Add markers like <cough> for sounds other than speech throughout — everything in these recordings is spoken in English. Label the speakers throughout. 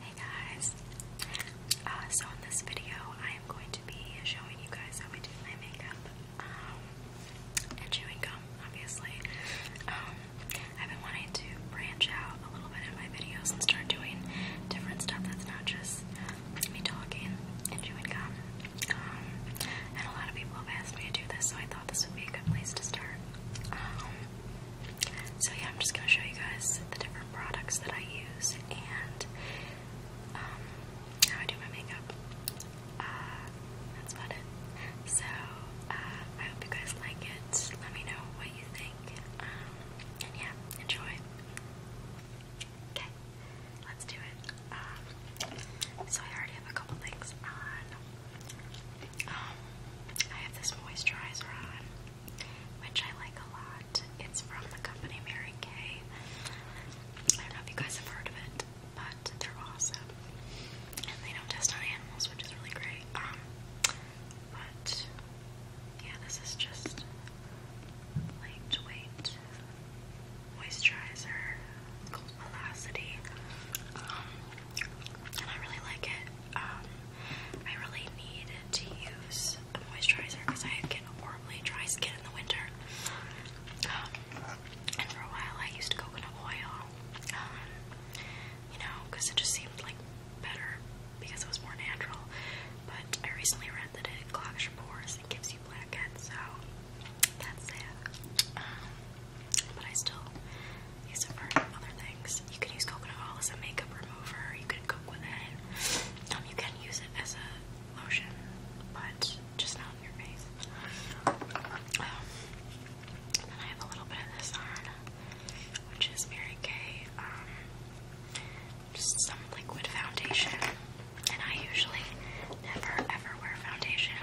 Speaker 1: Hey guys, uh, so in this video I am going to be showing you guys how I do my makeup um, and chewing gum, obviously. Um, I've been wanting to branch out a little bit in my videos and start doing different stuff that's not just me talking and chewing gum and a lot of people have asked me to do this, so I thought this would be a good place to start. Um, so yeah, I'm just gonna show you guys the different products that I use and um, how I do my makeup. Uh, that's about it. So uh, I hope you guys like it. Let me know what you think. Um, and yeah, enjoy. Okay. Let's do it. Um, so I already have a couple things on. Um, I have this moisturizer on, which I like a lot. It's from the company Mary Kay. I don't know if you guys have heard of it, but they're awesome. And they don't test on animals, which is really great. Um, but yeah, this is just light weight moisturizer called Velocity. Um, and I really like it. Um, I really need to use a moisturizer because I get horribly dry skin in the winter. Um, and for a while I used coconut oil, you know, because it just seemed like better because it was more natural. But I recently read that it clogs your pores and gives you so that's it. Um, but I still use it for other things. You can use coconut oil as a makeup remover, you could cook with it. Um, you can use it as a lotion, but just not on your face. Um, then I have a little bit of this on, which is Mary Kay, just some liquid foundation and I usually never ever wear foundation.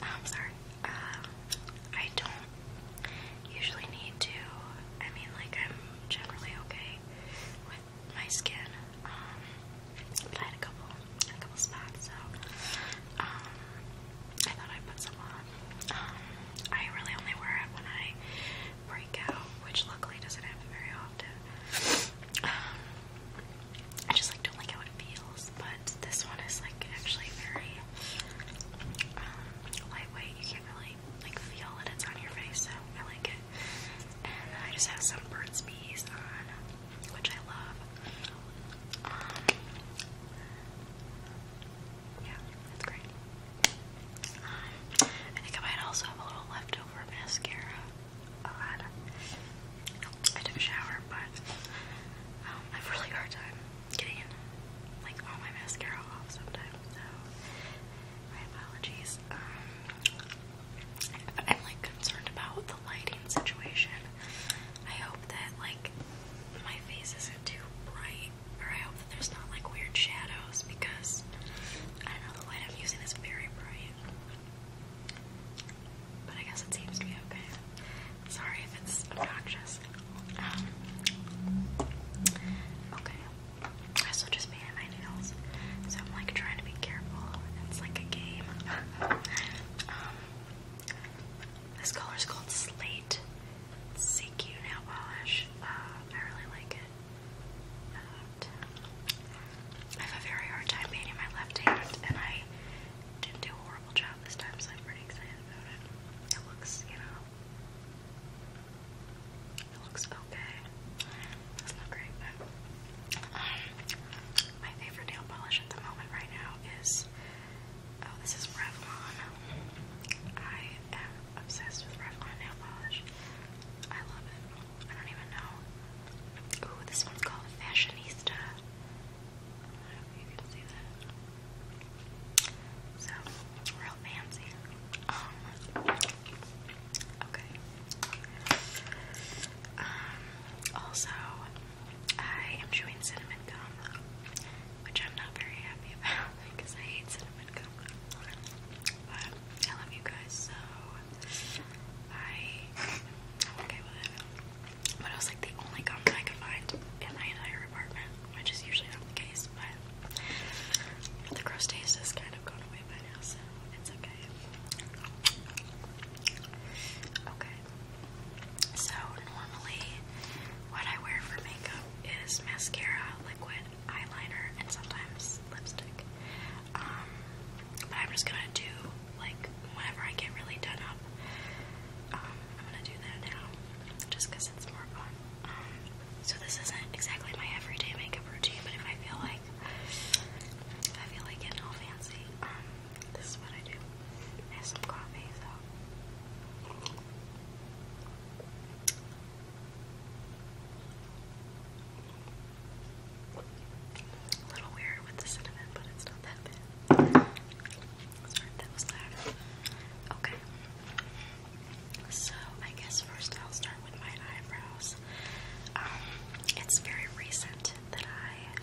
Speaker 1: I'm um, sorry. Uh, I don't usually need to. I mean, like I'm generally okay with my skin. Um, I had a couple, a couple spots, so um, I thought i put some on. Um, I really only wear it when I break out, which luckily doesn't happen very often. Um, I just like don't like how it feels, but this one is like actually very um, lightweight. You can't really like feel that it's on your face, so I like it. And I just have some Burt's Bees on, which I love. Um, yeah, that's great. I think I might also have a little leftover mascara Oh, I took a shower, but um, I have really hard time getting like all my mascara off sometimes. So my apologies. Um, I'm like concerned about the lighting situation. I hope that like my face isn't too bright, or I hope that there's not like weird shadows because I don't know the light I'm using is very bright. But I guess it seems to be okay. Sorry if it's obnoxious. Um, okay. I still just painted my nails. So I'm like trying to be careful. It's like a game. <laughs> Um, this color is called Slate. It's you nail polish. Uh, I really like it. Uh, I have a very hard time painting my left hand, and I didn't do a horrible job this time, so I'm pretty excited about it. It looks, you know, it looks okay. That's not great, but um, my favorite nail polish at the moment right now is oh, this is Revlon. I am obsessed with Revlon nail polish. I love it. I don't even know. Ooh, this one's called Fashionista. I don't know if you can see that. So, real fancy. Um, okay. Um, also, I am chewing cinnamon gum, which I'm not very happy <laughs> about because I hate cinnamon gum. But I love you guys, so I Okay, well then. But it was like the only gum I could find in my entire apartment, which is usually not the case, but, the gross taste has kind of gone away by now, so it's okay. Okay. So normally what I wear for makeup is mascara, liquid, eyeliner, and sometimes lipstick. Um, but I'm just gonna do like whenever I get really done up. Um, I'm gonna do that now, just because it's more fun. Um, so this isn't exactly my everyday makeup routine, but if I feel like if I feel like getting all fancy, um, this is what I do. I have some coffee, so it's Okay. So, I guess first I'll start with my eyebrows. Um, it's very recent that I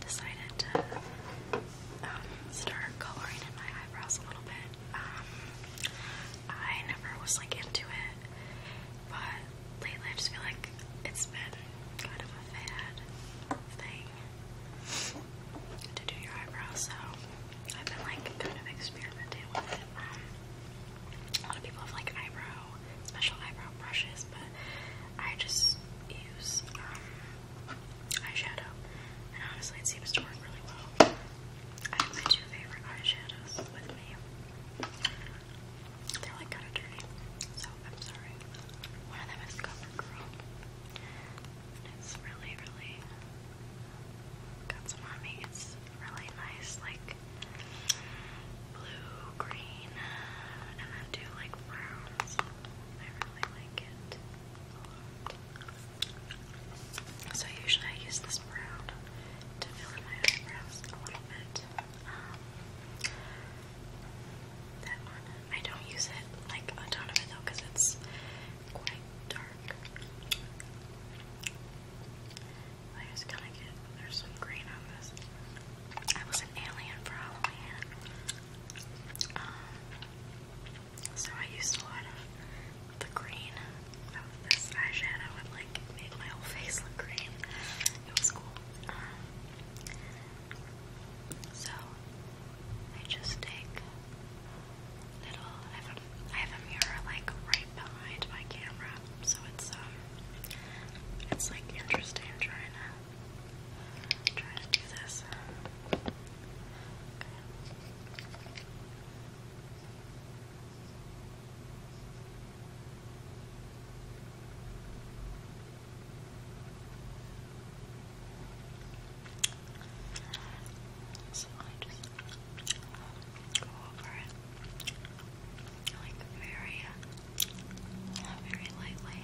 Speaker 1: decided to um, start coloring in my eyebrows a little bit. Um, I never was like into it, but lately I just feel like it's been kind of a fad thing to do your eyebrows, so I've been like kind of experimenting with it. Um, a lot of people have like eyebrow, special eyebrow brushes, but I just use um, eyeshadow, and honestly, it seems to work really well. I have my two favorite eyeshadows with me. They're like kind of dirty, so I'm sorry. One of them is CoverGirl. It's really, really got some mommy. really nice, like blue, green, and then two like browns. I really like it So usually I use this brown to fill my eyebrows a little bit. I don't use it like a ton of it though it's quite dark. I just kind of get there's some green on this. I was an alien for Halloween. Um, so I used a lot of the green of this eyeshadow and like made my whole face look green. It was cool. Um, so I just take little. I have a mirror like right behind my camera, so it's um, it's like interesting trying to. Try to do this. So I just go over it like very, very uh, lightly.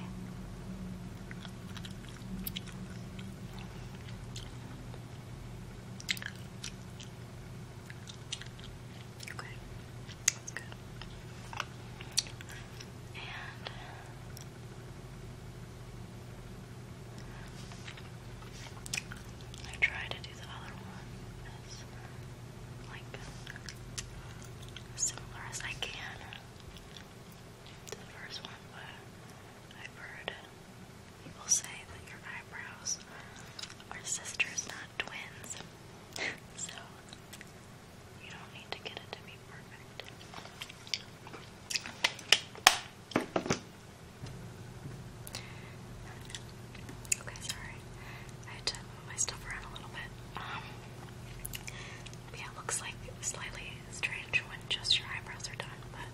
Speaker 1: Okay. That's good. I try to do the other one like similar as I can to the first one, but I've heard people say that your eyebrows are sisters, not twins so you don't need to get it to be perfect. Okay, sorry. I had to move my stuff around a little bit. Um, yeah, looks like slightly strange when just your eyebrows are done, but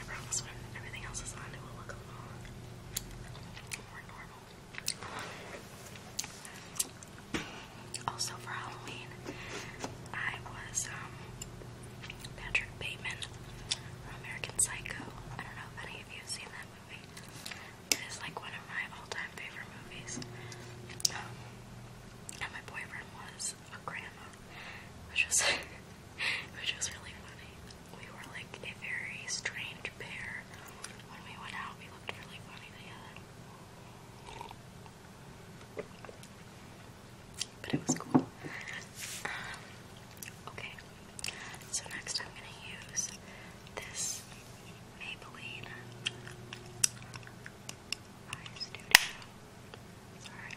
Speaker 1: I promise when everything else is on, it will look a more normal. Also for Halloween, I was um, Patrick Bateman from American Psycho. I don't know if any of you have seen that movie. It is like one of my all-time favorite movies. Um, and my boyfriend was a grandma, which was <laughs> which was really funny. We were like a very strange but it was cool. Um, okay, so next I'm going to use this Maybelline Eye Studio. Sorry.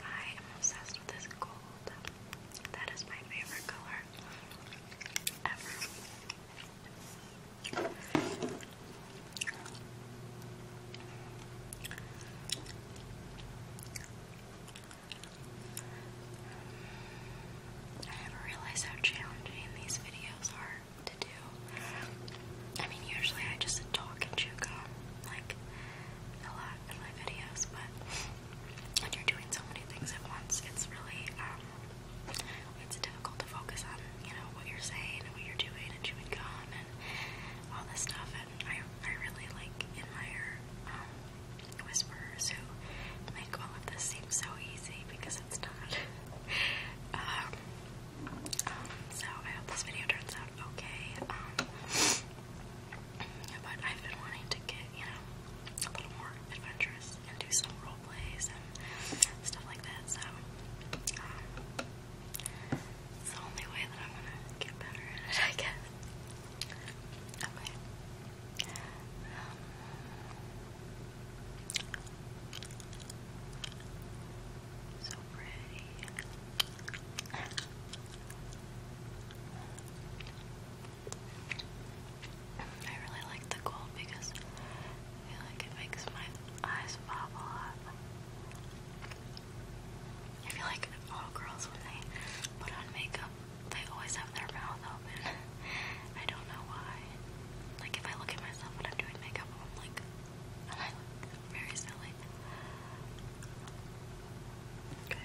Speaker 1: I am obsessed with this gold that is my favorite color ever. I never realized how challenging these videos are to do. I mean, usually I just talk and chew gum like a lot in my videos, but when you're doing so many things at once, it's really um, it's difficult to focus on you know what you're saying and what you're doing and chewing gum and all this stuff. And I I really like admire um, whisperers who make all of this seem so easy because it's not. <laughs> um, um, so I hope this video turns out okay. Um, but I've been wanting to get, you know, a little more adventurous and do some role plays and stuff like that. So um, it's the only way that I'm gonna get better at it, <laughs> I guess. Okay. Um, so pretty. I really like the gold because I feel like it makes my eyes pop a lot. I feel like all girls, when they put on makeup, they always have their mouth open. <laughs> I don't know why. Like, if I look at myself when I'm doing makeup, I'm like, <laughs> I look very silly. Okay.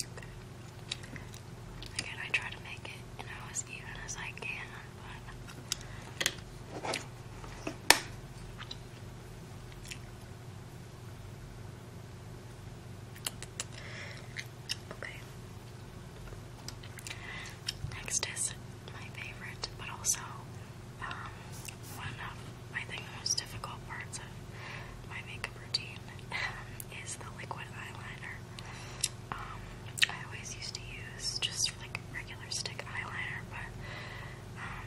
Speaker 1: Okay. Again, I try to make it, as even as I can, Okay. Next is my favorite, but also um, one of I think the most difficult parts of my makeup routine um, is the liquid eyeliner. Um, I always used to use just like regular stick eyeliner, but um,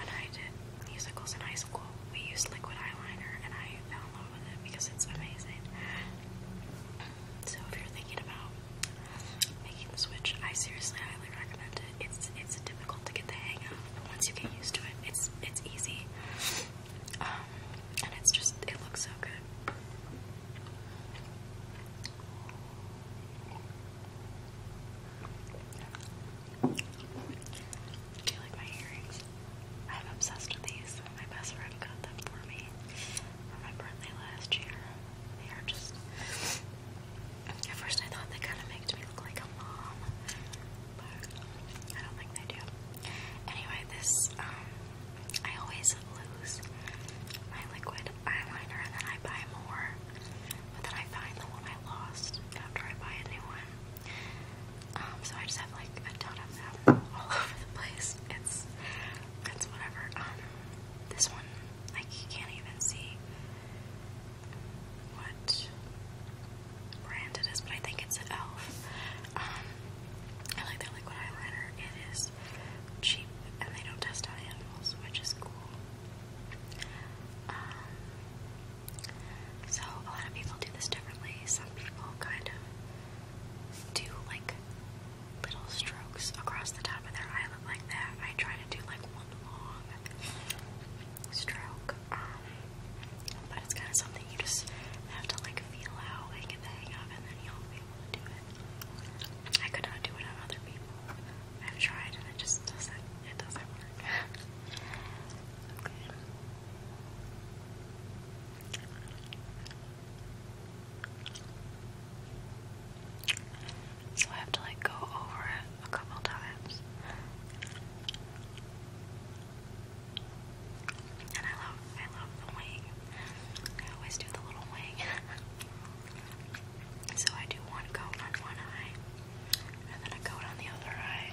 Speaker 1: when I did musicals in high school, we used liquid eyeliner, and I fell in love with it because it's amazing. So if you're thinking about making the switch, I seriously highly recommend it. It's it's difficult to get the hang of, but once you get used to it, it's it's easy um, and it's just, it looks so good. Do you like my earrings? I'm obsessed with these. My best friend got them for me for my birthday last year. They are just. At first, I thought they kind of made me look like a mom, but I don't think they do. Anyway, this, um, I always lose my liquid eyeliner and then I buy more, but then I find the one I lost after I buy a new one. Um, so I just have like a ton of them all <laughs> over the place. It's, it's whatever. Um, this one, like, you can't even see what brand it is, but I think it's an e.l.f. Um, I like their liquid eyeliner. It is cheap and they don't test on animals, which is cool. Um, so a lot of people do this differently. Some people kind of do like little strokes across the top of their eyelid like that. I try to do like one long stroke. Um, but it's kind of something you just have to like feel out and get the hang of, and then you'll be able to do it. I could not do it on other people. I've tried, and it just doesn't. It doesn't work. <laughs> So I have to like go over it a couple times. And I love, I love the wing. I always do the little wing. <laughs> so I do one coat on one eye, and then a coat on the other eye.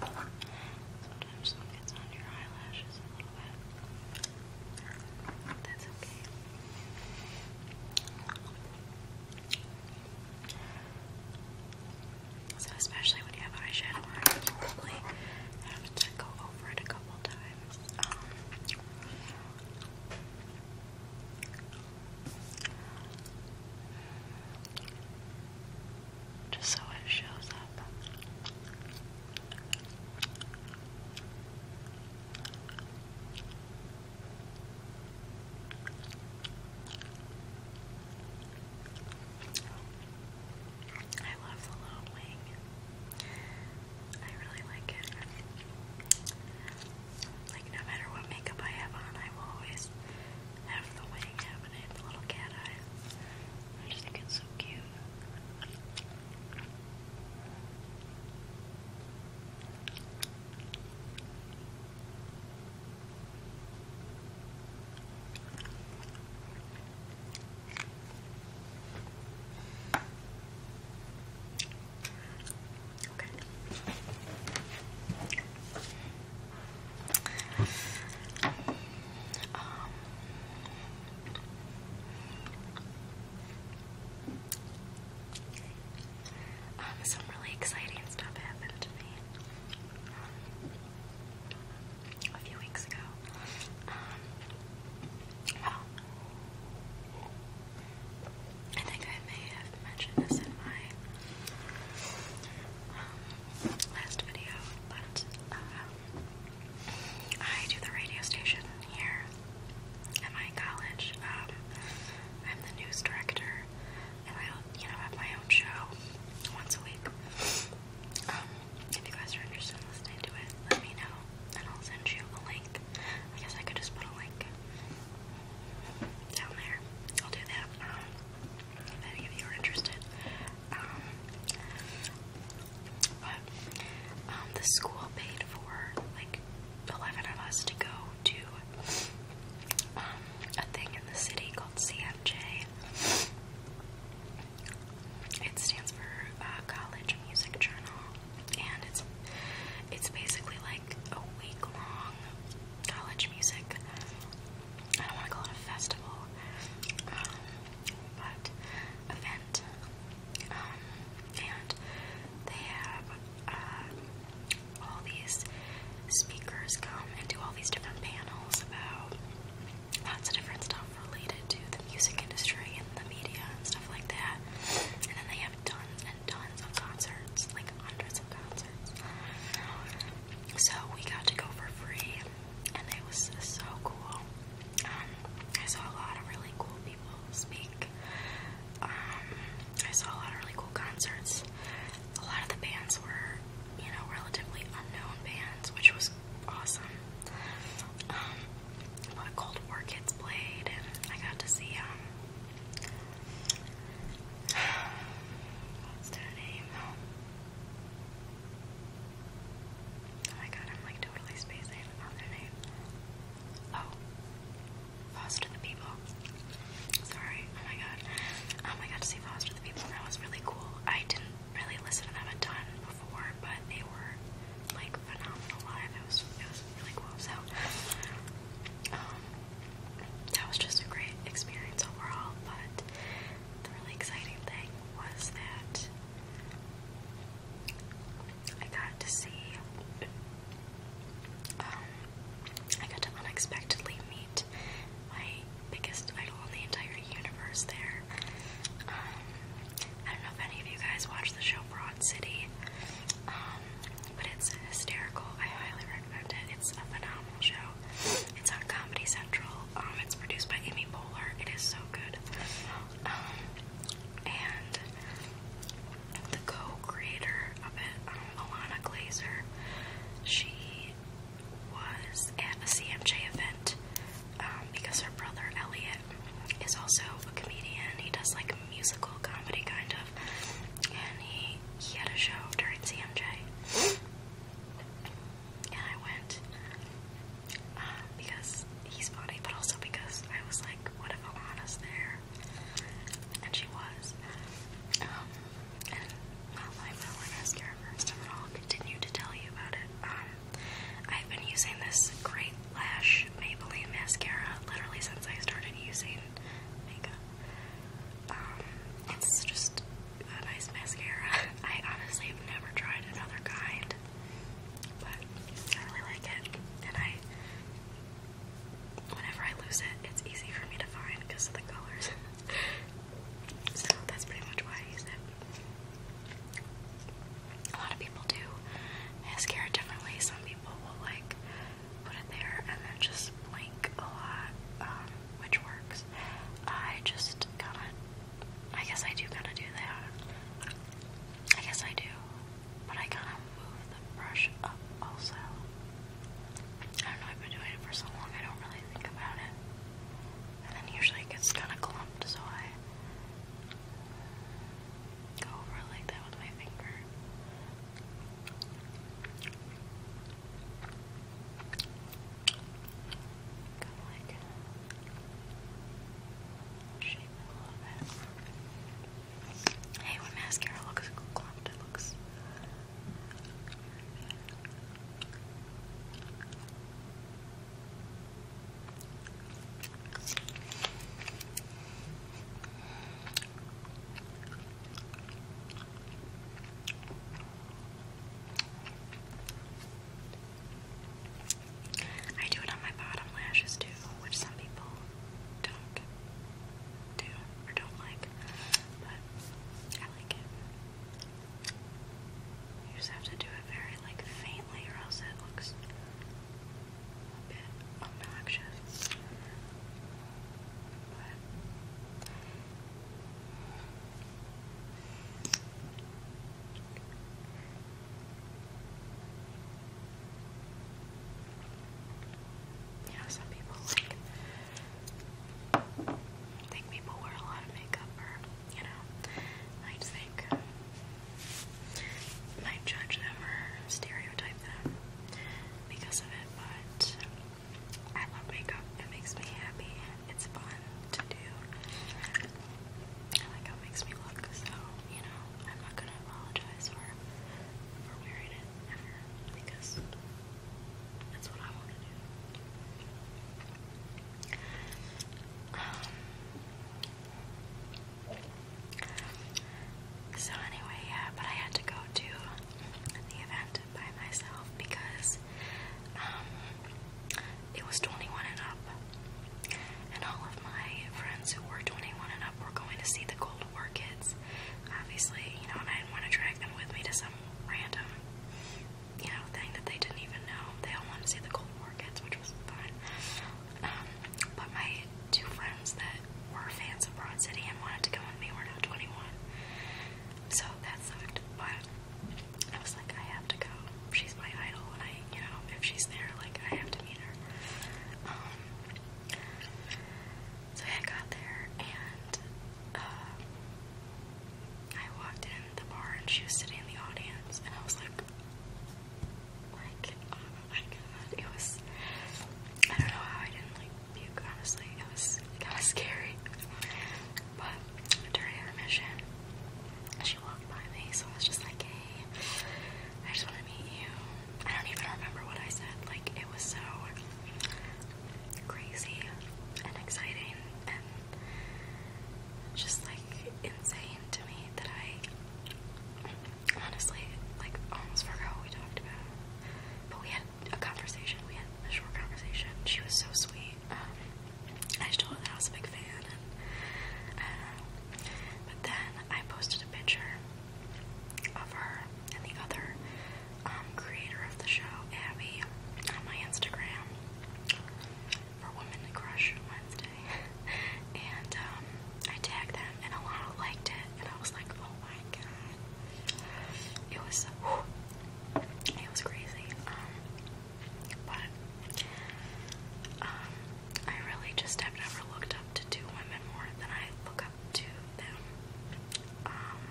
Speaker 1: Sometimes sun gets on your eyelashes a little bit. That's okay. especially when you have eyeshadow you probably have to go over it a couple times. Um, just so it shows up. I love the little wing. I really like it. Like, no matter what makeup I have on, I will always have the wing happening, the little cat eyes. I just think it's so cute. Okay. Um, um, some really exciting stuff happened to me um, a few weeks ago. Um, I think I may have mentioned this in my um, last video, but um, I do the radio station here at my college. Um, I'm the news director, and I, you know, have my own show once a week. if you guys are interested in listening to it, let me know, and I'll send you a link. I guess I could just put a link down there. I'll do that um, if any of you are interested. Um, but um, the school paid for like 11 of us to go to um, a thing in the city called CMJ. It stands for uh, College Music Journal, and it's it's basically like a week long college music. I don't want to call it a festival, um, but event. Um, and they have uh, all these speakers come and do all these different panels about lots of different stuff related to the music industry and the media and stuff like that. And then they have tons tons of concerts, like hundreds of concerts. So we got to go for free, and it was so cool. Um, I saw a lot of really cool people speak. Um, I saw a lot of really cool concerts. A lot of the bands were, you know, relatively unknown bands, which was awesome. Um, Cold War Kids played, and I got to see, um, What's their name? Oh my god, I'm like totally spacing on their name. Oh, Foster the People. Sorry, oh my god. Um, oh I got to see Foster the People, that was really cool. I didn't really listen to them a ton before, but they were like phenomenal live. It was, it was really cool. So, um, that was just a great experience overall. But the really exciting thing was that I got to see, um, I got to unexpectedly meet my biggest idol in the entire universe there. Um, I don't know if any of you guys watch the show Broad City. Um, but it's hysterical. I highly recommend it. It's a phenomenal show. It's on Comedy Central. Um, it's produced by Amy Poehler. It is so good. Um, and the co-creator of it, um, Alana Glazer, she was at a CMJ event um, because her brother Elliot is also a comedian. He does like musical comedy, kind of, and he he had a show during CMJ, and I went uh, because he's funny, but also because I was like, what if Alana's there? And she was. Um, and I will, I guess, first, and then continue to tell you about it. Um, I've been using this great lash Maybelline mascara literally since I started using makeup. Um, it's just a nice mascara. <laughs> I honestly have never tried another kind, but I really like it. And I, whenever I lose it, it's easy for me to find because of the colors. <laughs> so that's pretty much why I use it. A lot of people do mascara differently. Some people will like put it there and then just blink a lot, um, which works. I just kind of, I guess I do kind of do that. I guess I do, but I kind of move the brush up also. I don't know, I've been doing it for so long, I don't really think about it. And then usually it gets kind of clumped, so I go over like that with my finger. Kind of like shape a little bit. Hey, when mascara looks clumped, it looks I do it on my bottom lashes too, which some people don't do or don't like, but I like it. You just have to do it very like faintly, or else it looks a bit obnoxious. You some people think people wear a lot of makeup, or you know, I just think might judge them or stereotype them because of it, but I love makeup. It makes me happy. It's fun to do. I like how it makes me look, so, you know, I'm not gonna apologize for, for wearing it ever because that's what I want to do. Um, so, anyway, yeah, but I had to go to the event by myself because um, it was 21 and up, and all of my friends who were 21 and up were going to see the Cold War kids. Obviously, you know, and I didn't want to drag them with me to some random, you know, thing that they didn't even know. They all wanted to see the Cold War kids, which was fun. Um, but my two friends that were fans of Broad City and wanted to come with me were now 21. So that sucked, but I was like, I have to go. She's my idol, and I, you know, if she's there, like, I have to meet her. Um, so I got there, and uh, I walked in the bar, and she was sitting in the audience, and I was like, like, um, my it was. I don't know how I didn't like puke. Honestly, it was kind of scary. But during the mission, she walked by me, so I was just like, "Hey, I just want to meet you." I don't even remember what I said. Like it was so crazy and exciting and just like insane to me that I honestly, like almost forgot what we talked about. But we had a conversation. We had a short conversation. She was so sweet. Um, I just told her that I was a big fan, and uh, But then I posted a picture of her and the other um, creator of the show, Abby, on my Instagram for Women Crush Wednesday, <laughs> and um, I tagged them, and a lot liked it, and I was like, oh my it was whew, it was crazy. Um, but um I really just have never looked up to two women more than I look up to them. Um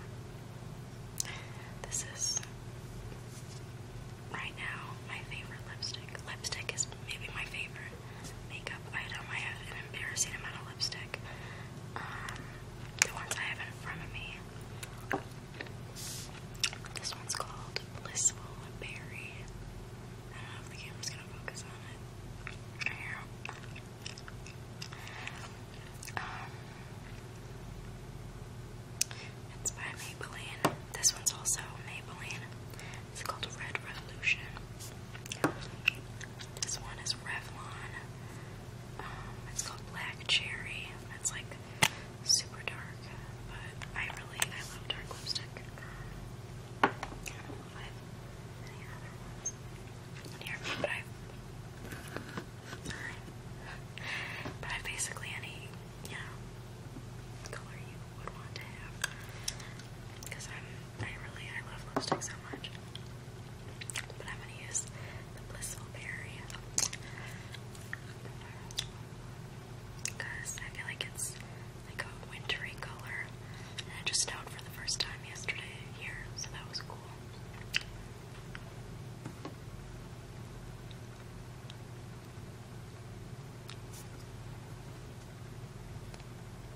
Speaker 1: this is right now my favorite lipstick. Lipstick is maybe my favorite makeup item. I have an embarrassing amount of lipstick. Um, the ones I have in front of me. This one's called Blissful Berry. I don't know if the camera's gonna focus on it. Um, it's by Maybelline. This one's also Maybelline. It's called Red Revolution. This one is Revlon. Um, it's called Black Cherry. It's like super dark, but I really I love dark lipstick. but I basically any you color you would want to have because I'm I really, I love lipstick so much. But I'm gonna use the Blissful Berry. Because I feel like it's like a wintry color. And I just out for the first time yesterday here, so that was cool.